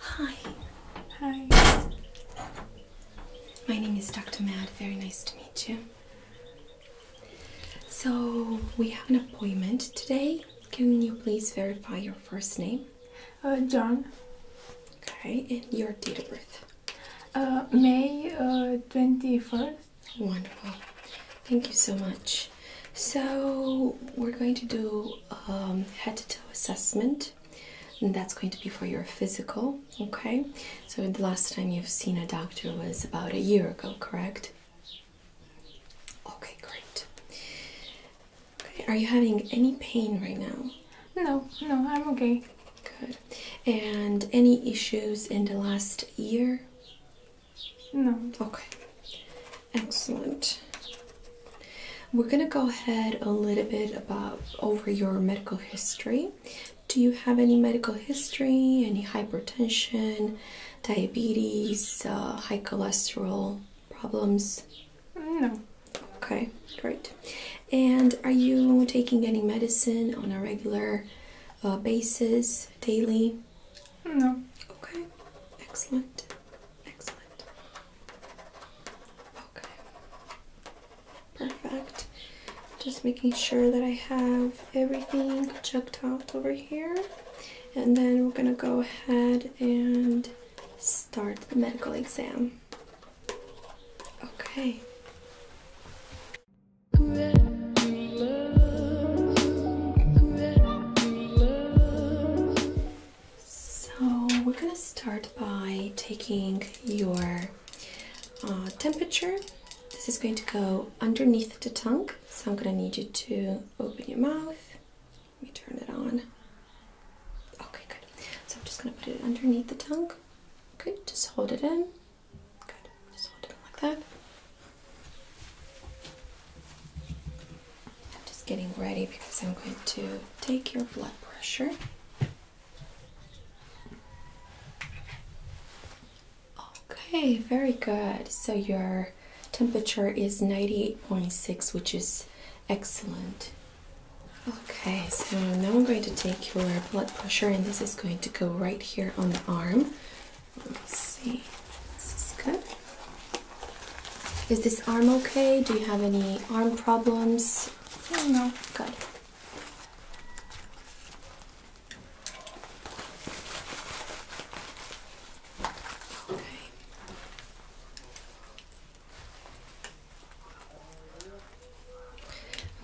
Hi. Hi. My name is Dr. Mad. Very nice to meet you. So, we have an appointment today. Can you please verify your first name? Uh, John. Okay, and your date of birth? Uh, May uh, 21st. Wonderful. Thank you so much. So we're going to do um, head to toe assessment, and that's going to be for your physical. Okay. So the last time you've seen a doctor was about a year ago, correct? Okay, great. Okay. Are you having any pain right now? No, no, I'm okay. Good. And any issues in the last year? No. Okay. Excellent. We're going to go ahead a little bit about over your medical history. Do you have any medical history? Any hypertension, diabetes, uh, high cholesterol problems? No. Okay, great. And are you taking any medicine on a regular uh, basis, daily? No. Okay. Excellent. Excellent. Okay. Perfect. Just making sure that I have everything checked out over here. And then we're gonna go ahead and start the medical exam. Okay. So we're gonna start by taking your uh, temperature. This is going to go underneath the tongue, so I'm gonna need you to open your mouth. Let me turn it on. Okay, good. So I'm just gonna put it underneath the tongue. Okay, just hold it in. Good. Just hold it in like that. I'm just getting ready because I'm going to take your blood pressure. Okay, very good. So your temperature is 98.6, which is excellent. Okay, so now I'm going to take your blood pressure and this is going to go right here on the arm. Let me see. This is good. Is this arm okay? Do you have any arm problems? No. Good. Okay.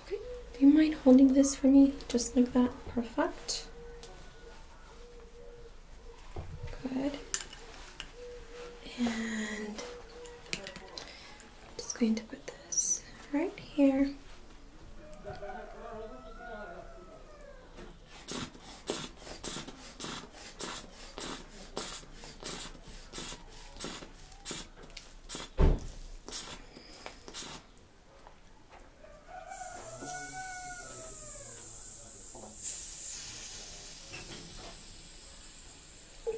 Okay. Do you mind holding this for me just like that? Perfect. Good. And I'm just going to put this right here.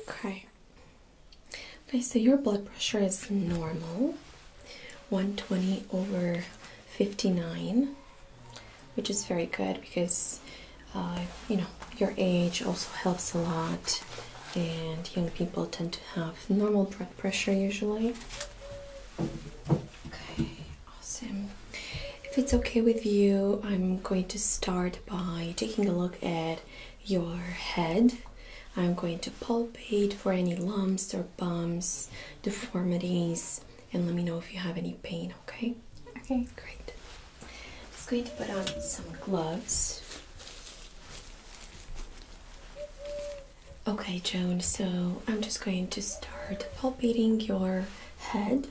Okay. Okay, so your blood pressure is normal 120 over 59, which is very good because uh, you know your age also helps a lot, and young people tend to have normal blood pressure usually. Okay, awesome. If it's okay with you, I'm going to start by taking a look at your head. I'm going to palpate for any lumps or bumps, deformities, and let me know if you have any pain, okay? Okay. Great. I'm just going to put on some gloves. Okay, Joan, so I'm just going to start palpating your head.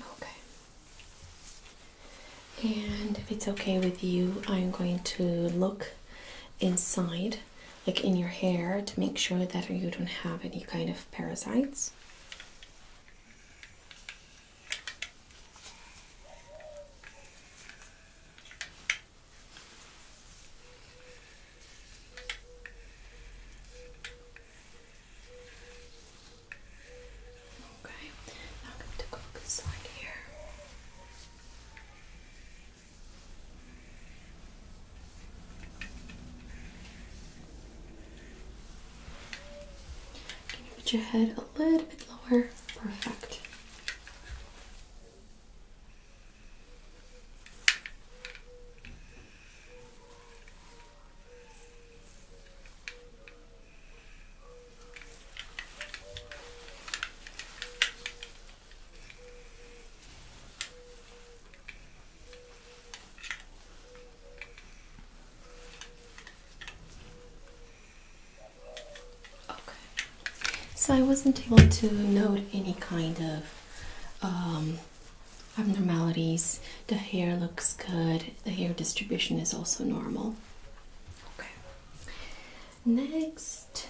Okay. And if it's okay with you, I'm going to look inside like in your hair to make sure that you don't have any kind of parasites. Okay, now I'm going to go this here put your head a little bit lower? Perfect. Okay, so I wasn't able to note any kind of um, abnormalities. The hair looks good, the hair distribution is also normal. Okay, Next,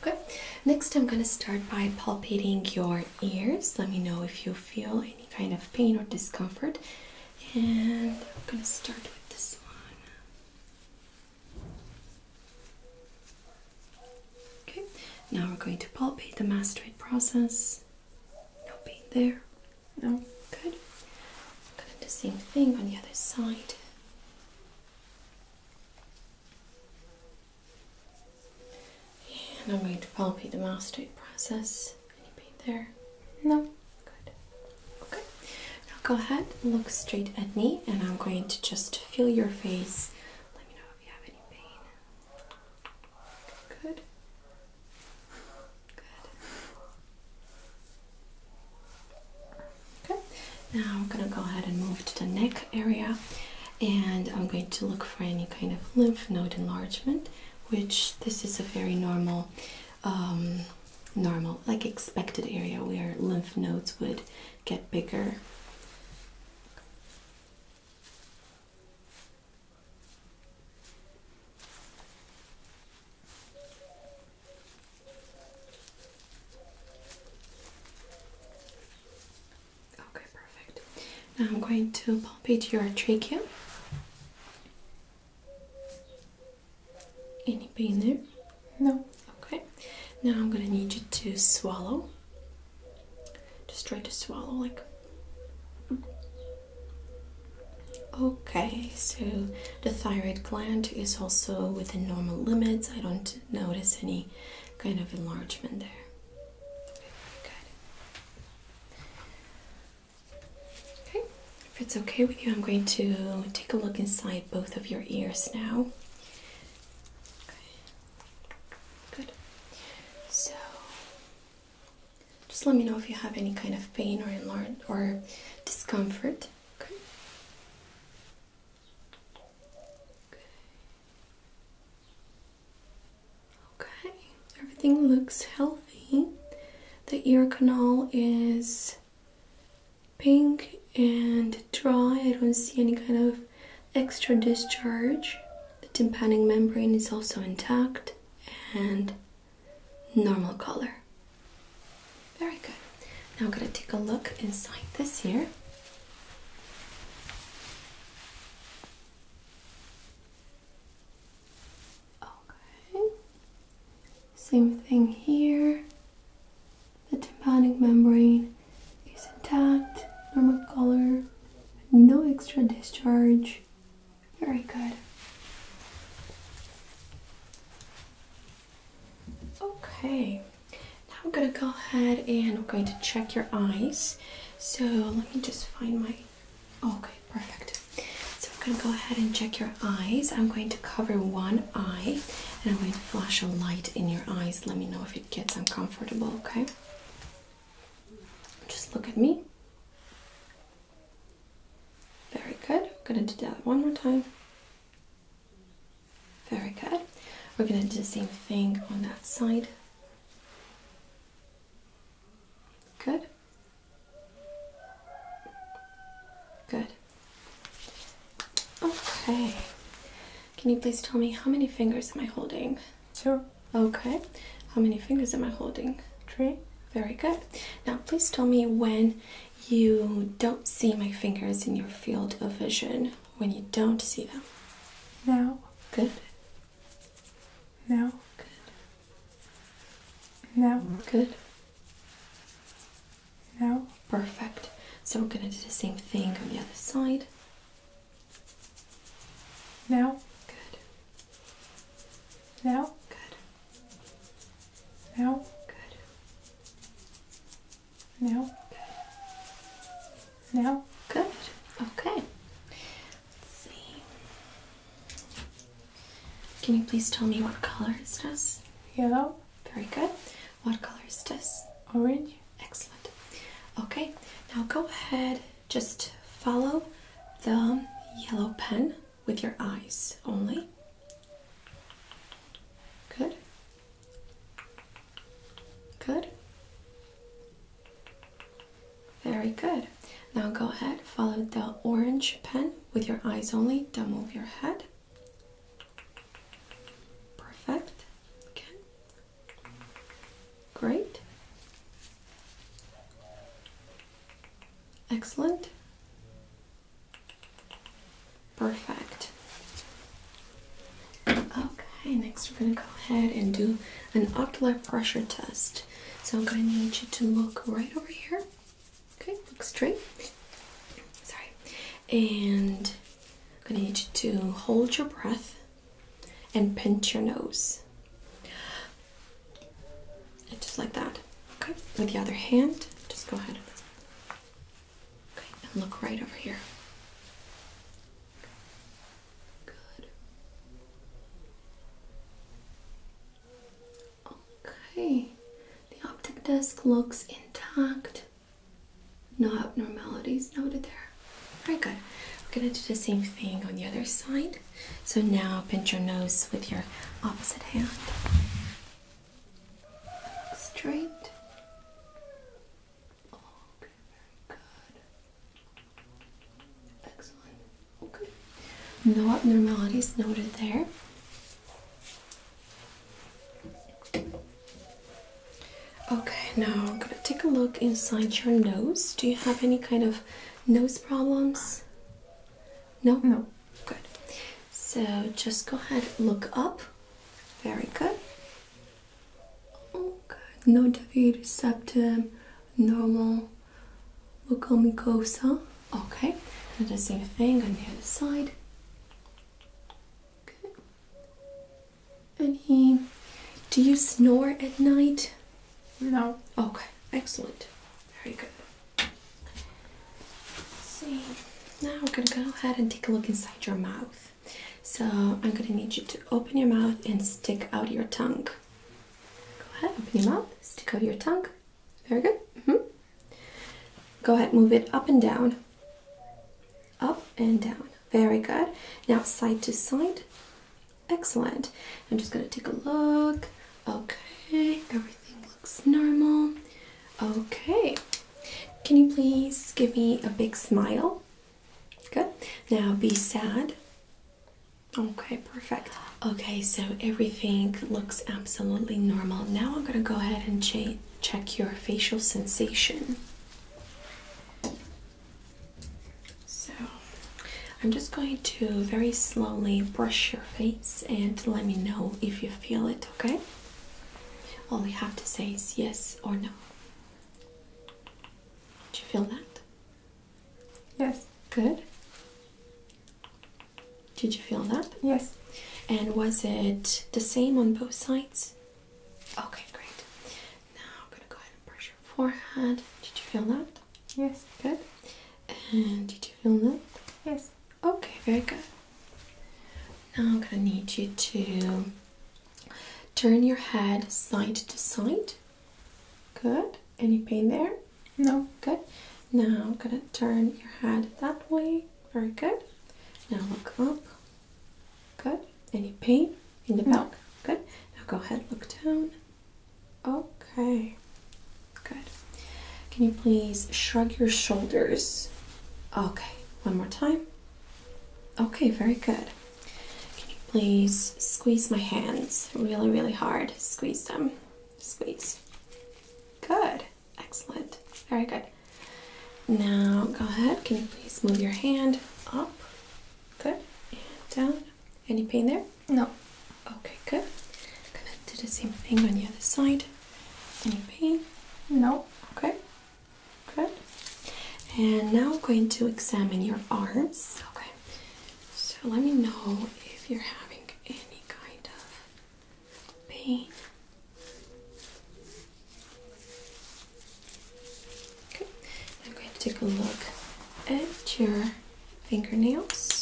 okay. Next, I'm gonna start by palpating your ears. Let me know if you feel any kind of pain or discomfort, and I'm gonna start with this one. Okay. Now we're going to palpate the mastoid process. No pain there. No. Good. I'm gonna do the same thing on the other side. And I'm going to palpate the mastoid process. Any pain there? No? Good. Okay. Now go ahead, and look straight at me, and I'm going to just feel your face. Let me know if you have any pain. Good. Good. Okay, now I'm gonna go ahead and move to the neck area and I'm going to look for any kind of lymph node enlargement, which this is a very normal, um, normal, like expected area where lymph nodes would get bigger. Okay, perfect. Now I'm going to palpate your trachea. Any pain there? No. Okay. Now I'm gonna need you to swallow. Just try to swallow like. Okay, so the thyroid gland is also within normal limits. I don't notice any kind of enlargement there. Okay, if it's okay with you, I'm going to take a look inside both of your ears now. good. So, just let me know if you have any kind of pain or enlarged or discomfort. Okay, everything looks healthy. The ear canal is pink and dry. I don't see any kind of extra discharge. The tympanic membrane is also intact and normal color. Very good. Now I'm going to take a look inside this here. Okay. Same thing here. The tympanic membrane is intact, normal color, no extra discharge. Very good. Okay, now I'm gonna go ahead and I'm going to check your eyes. So let me just find my. okay, perfect. So I'm gonna go ahead and check your eyes. I'm going to cover one eye and I'm going to flash a light in your eyes. Let me know if it gets uncomfortable, okay? Just look at me. Very good. We're gonna do that one more time. Very good. We're going to do the same thing on that side. Good. Good. Okay. Can you please tell me how many fingers am I holding? Two. Okay. How many fingers am I holding? Three. Very good. Now, please tell me when you don't see my fingers in your field of vision when you don't see them. Now. Good. Now. Good. Now. Good. Now. Perfect. So we're going to do the same thing on the other side. Now. Good. Now. Good. Now. Good. Now? Now? Good. Okay. see. Can you please tell me what color is this? Yellow. Very good. What color is this? Orange. Excellent. Okay. Now go ahead. Just follow the yellow pen with your eyes only. Good. Good. Very good. Now go ahead, follow the orange pen with your eyes only. Don't move your head. Perfect. Okay. Great. Excellent. Perfect. Okay, next we're going to go ahead and do an ocular pressure test. So I'm going to need you to look right over here. Okay, look straight. Sorry. And I'm going to need you to hold your breath and pinch your nose. And just like that. Okay, with the other hand, just go ahead and look right over here. Good. Okay, the optic disc looks intact. No abnormalities noted there. Very good. We're going to do the same thing on the other side. So now pinch your nose with your opposite hand. Straight. Okay, No abnormalities noted there. Okay, now I'm gonna take a look inside your nose. Do you have any kind of nose problems? No? No. Good. So just go ahead, look up. Very good. Oh, No deviated septum, normal local mucosa. Okay, and the same thing on the other side. Okay. he, Do you snore at night? No. Okay, excellent. Very good. see, now we're gonna go ahead and take a look inside your mouth. So I'm gonna need you to open your mouth and stick out your tongue. Go ahead, open your mouth, stick out your tongue. Very good. -hmm. Go ahead, move it up and down. Up and down. Very good. Now side to side. Excellent. I'm just gonna take a look. Okay, everything looks normal. Okay. Can you please give me a big smile? Good. Now be sad. Okay, perfect. Okay, so everything looks absolutely normal. Now I'm going to go ahead and check your facial sensation. So I'm just going to very slowly brush your face and let me know if you feel it, okay? All you have to say is yes or no. Did you feel that? Yes. Good. Did you feel that? Yes. And was it the same on both sides? Okay, great. Now I'm gonna go ahead and brush your forehead. Did you feel that? Yes. Good. And did you feel that? Yes. Okay, very good. Now I'm gonna need you to Turn your head side to side. Good. Any pain there? No. Good. Now I'm gonna turn your head that way. Very good. Now look up. Good. Any pain in the back? No. Good. Now go ahead, look down. Okay. Good. Can you please shrug your shoulders? Okay. One more time. Okay, very good. Can you please squeeze my hands really, really hard? Squeeze them. Squeeze. Good. Excellent. Very good. Now go ahead. Can you please move your hand up? Good. And down. Any pain there? No. Okay, good. gonna do the same thing on the other side. Any pain? No. Okay. Good. And now I'm going to examine your arms. Okay. So let me know if you're having any kind of pain. I'm going to take a look at your fingernails.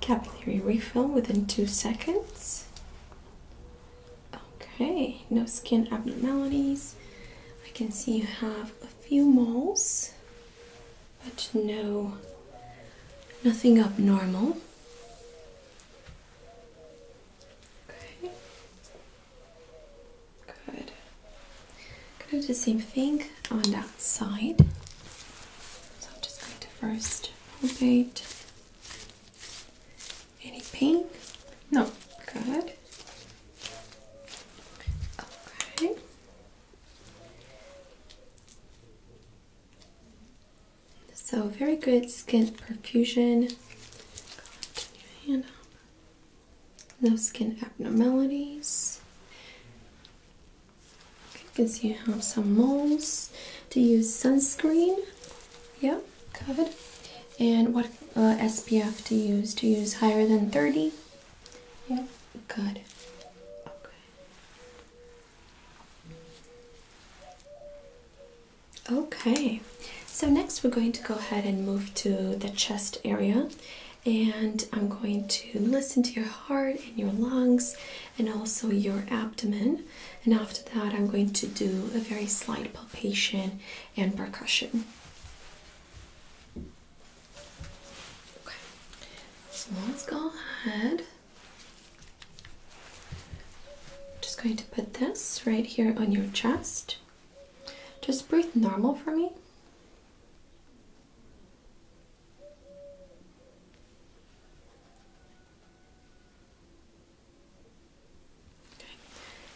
Capillary refill within two seconds. Okay, no skin abnormalities. I can see you have a few moles, but no, nothing abnormal. Okay. Good. Gonna do the same thing on that side. So I'm just going to first rotate. Any pain? No. Good. Okay. So very good skin perfusion. No skin abnormalities because you have some moles. Do you use sunscreen? Yeah, Good. And what uh, SPF to use? To use higher than 30? Yeah, good. Okay. Okay, so next we're going to go ahead and move to the chest area and I'm going to listen to your heart and your lungs and also your abdomen. And after that, I'm going to do a very slight palpation and percussion. Okay, so let's go ahead. Just going to put this right here on your chest. Just breathe normal for me.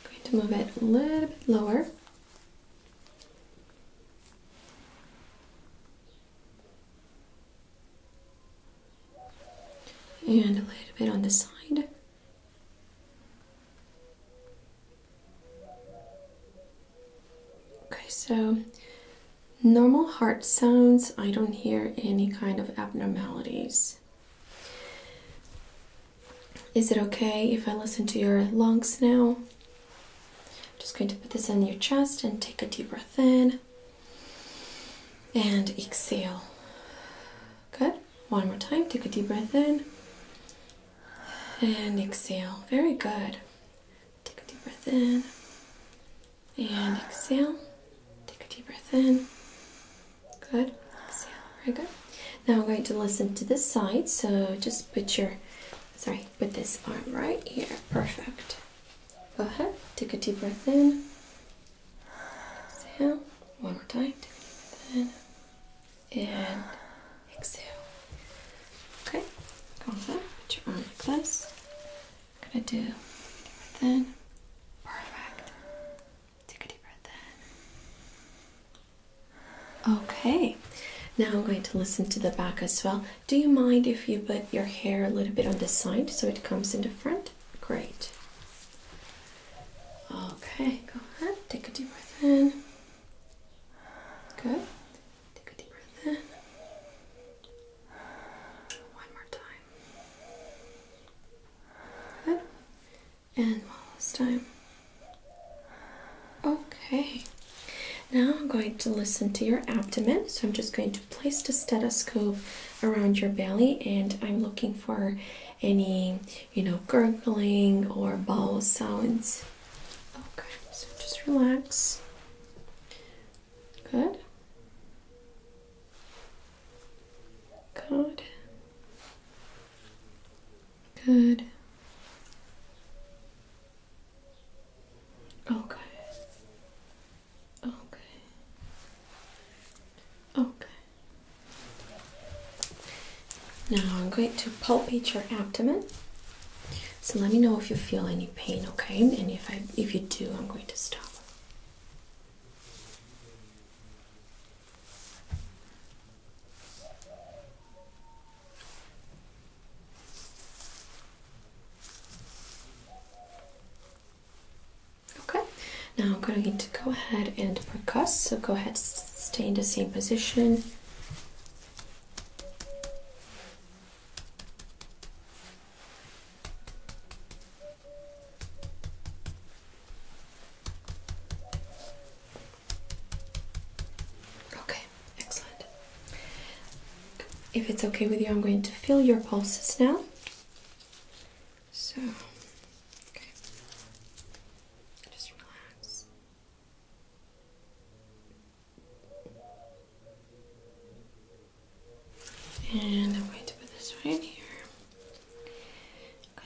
Okay, going to move it a little bit lower. And a little bit on the side. Okay, so normal heart sounds, I don't hear any kind of abnormalities. Is it okay if I listen to your lungs now? Just going to put this on your chest and take a deep breath in and exhale. Good. One more time. Take a deep breath in and exhale. Very good. Take a deep breath in and exhale. Take a deep breath in. Good. Exhale. Very good. Now I'm going to listen to this side. So just put your, sorry, put this arm right here. Perfect. Go ahead. Take a deep breath in. Exhale. One more time. Take a deep breath in. And exhale. Okay, also put your arm like this. I'm gonna do breath Perfect. Take a deep breath in. Okay. Now I'm going to listen to the back as well. Do you mind if you put your hair a little bit on the side so it comes in the front? Great. Okay, go ahead. Take a deep breath in. Good. Take a deep breath in. One more time. Good. And one last time. Okay. Now I'm going to listen to your abdomen. So I'm just going to place the stethoscope around your belly and I'm looking for any, you know, gurgling or bowel sounds. Okay, so just relax. Good. Good. Good. Okay. Okay. Okay. Now I'm going to palpate your abdomen so let me know if you feel any pain, okay? And if I if you do, I'm going to stop. Okay, now I'm going to go ahead and percuss. So go ahead, stay in the same position. Okay, excellent. If it's okay with you, I'm going to feel your pulses now. So, just relax. And I'm going to put this right here.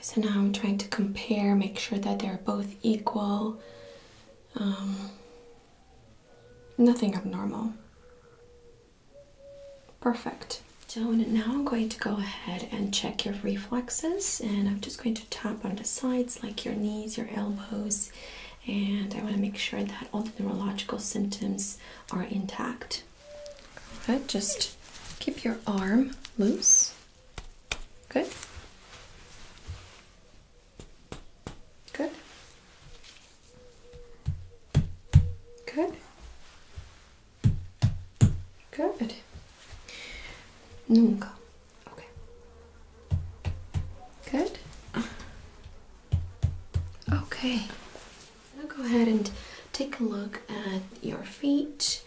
so now I'm trying to compare, make sure that they're both equal. Um, nothing abnormal. Perfect. So now I'm going to go ahead and check your reflexes and I'm just going to tap on the sides like your knees, your elbows, and I want to make sure that all the neurological symptoms are intact. Good, just keep your arm loose. Good. Good. Good. Good. Nunca. Okay. Good? Okay. Now go ahead and take a look at your feet.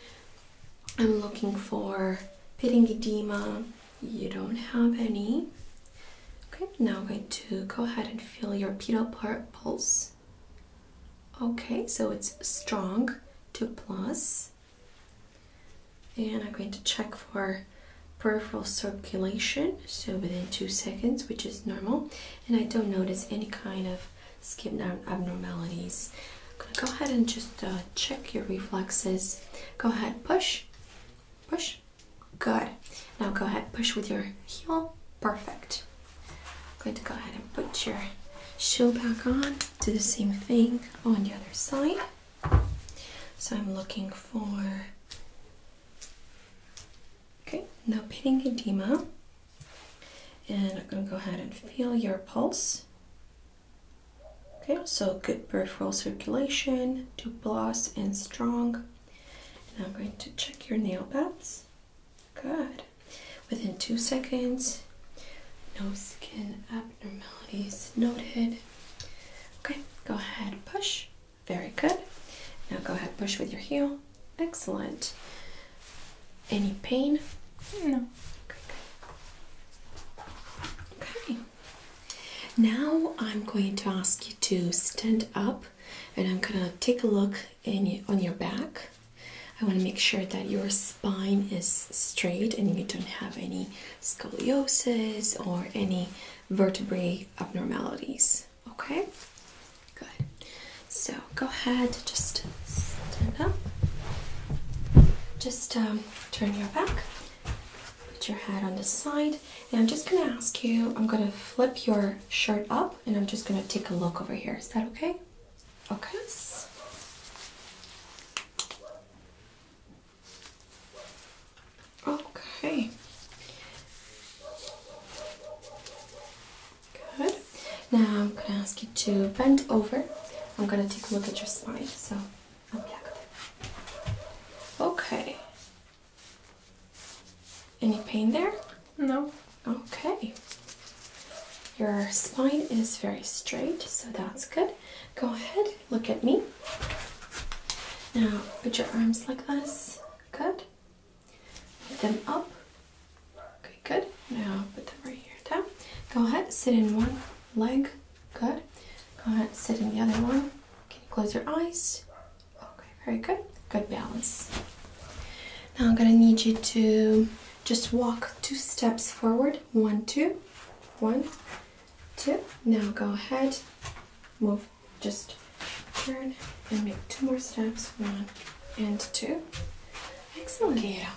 I'm looking for pitting edema. You don't have any. Okay, now I'm going to go ahead and feel your pedal pulse. Okay, so it's strong, 2 plus. And I'm going to check for peripheral circulation so within two seconds which is normal and i don't notice any kind of skin abnormalities gonna go ahead and just uh, check your reflexes go ahead push push good now go ahead push with your heel perfect i'm going to go ahead and put your shoe back on do the same thing on the other side so i'm looking for Okay, no pitting edema. And I'm going to go ahead and feel your pulse. Okay, so good peripheral circulation, tuberous and strong. And I'm going to check your nail beds. Good. Within two seconds, no skin abnormalities noted. Okay, go ahead, push. Very good. Now go ahead, push with your heel. Excellent. Any pain? No. Okay. Now I'm going to ask you to stand up and I'm going to take a look on your back. I want to make sure that your spine is straight and you don't have any scoliosis or any vertebrae abnormalities. Okay, good. So go ahead, just stand up. Just um, turn your back, put your head on the side, and I'm just gonna ask you. I'm gonna flip your shirt up, and I'm just gonna take a look over here. Is that okay? Okay. Okay. Good. Now I'm gonna ask you to bend over. I'm gonna take a look at your spine. So, um, okay. Any pain there? No. Okay. Your spine is very straight, so that's good. Go ahead, look at me. Now put your arms like this. Good. Put them up. Okay, good. Now put them right here down. Go ahead, sit in one leg. Good. Go ahead, sit in the other one. Can you close your eyes? Okay, very good. Good balance. Now I'm gonna need you to just walk two steps forward. One, two, one, two. Now go ahead, move just turn and make two more steps one and two excellent yeah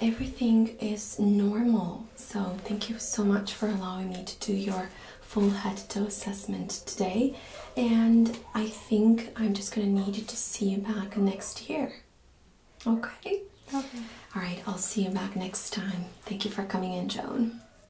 everything is normal so thank you so much for allowing me to do your full head to toe assessment today and i think i'm just going to need you to see you back next year okay okay all right i'll see you back next time thank you for coming in joan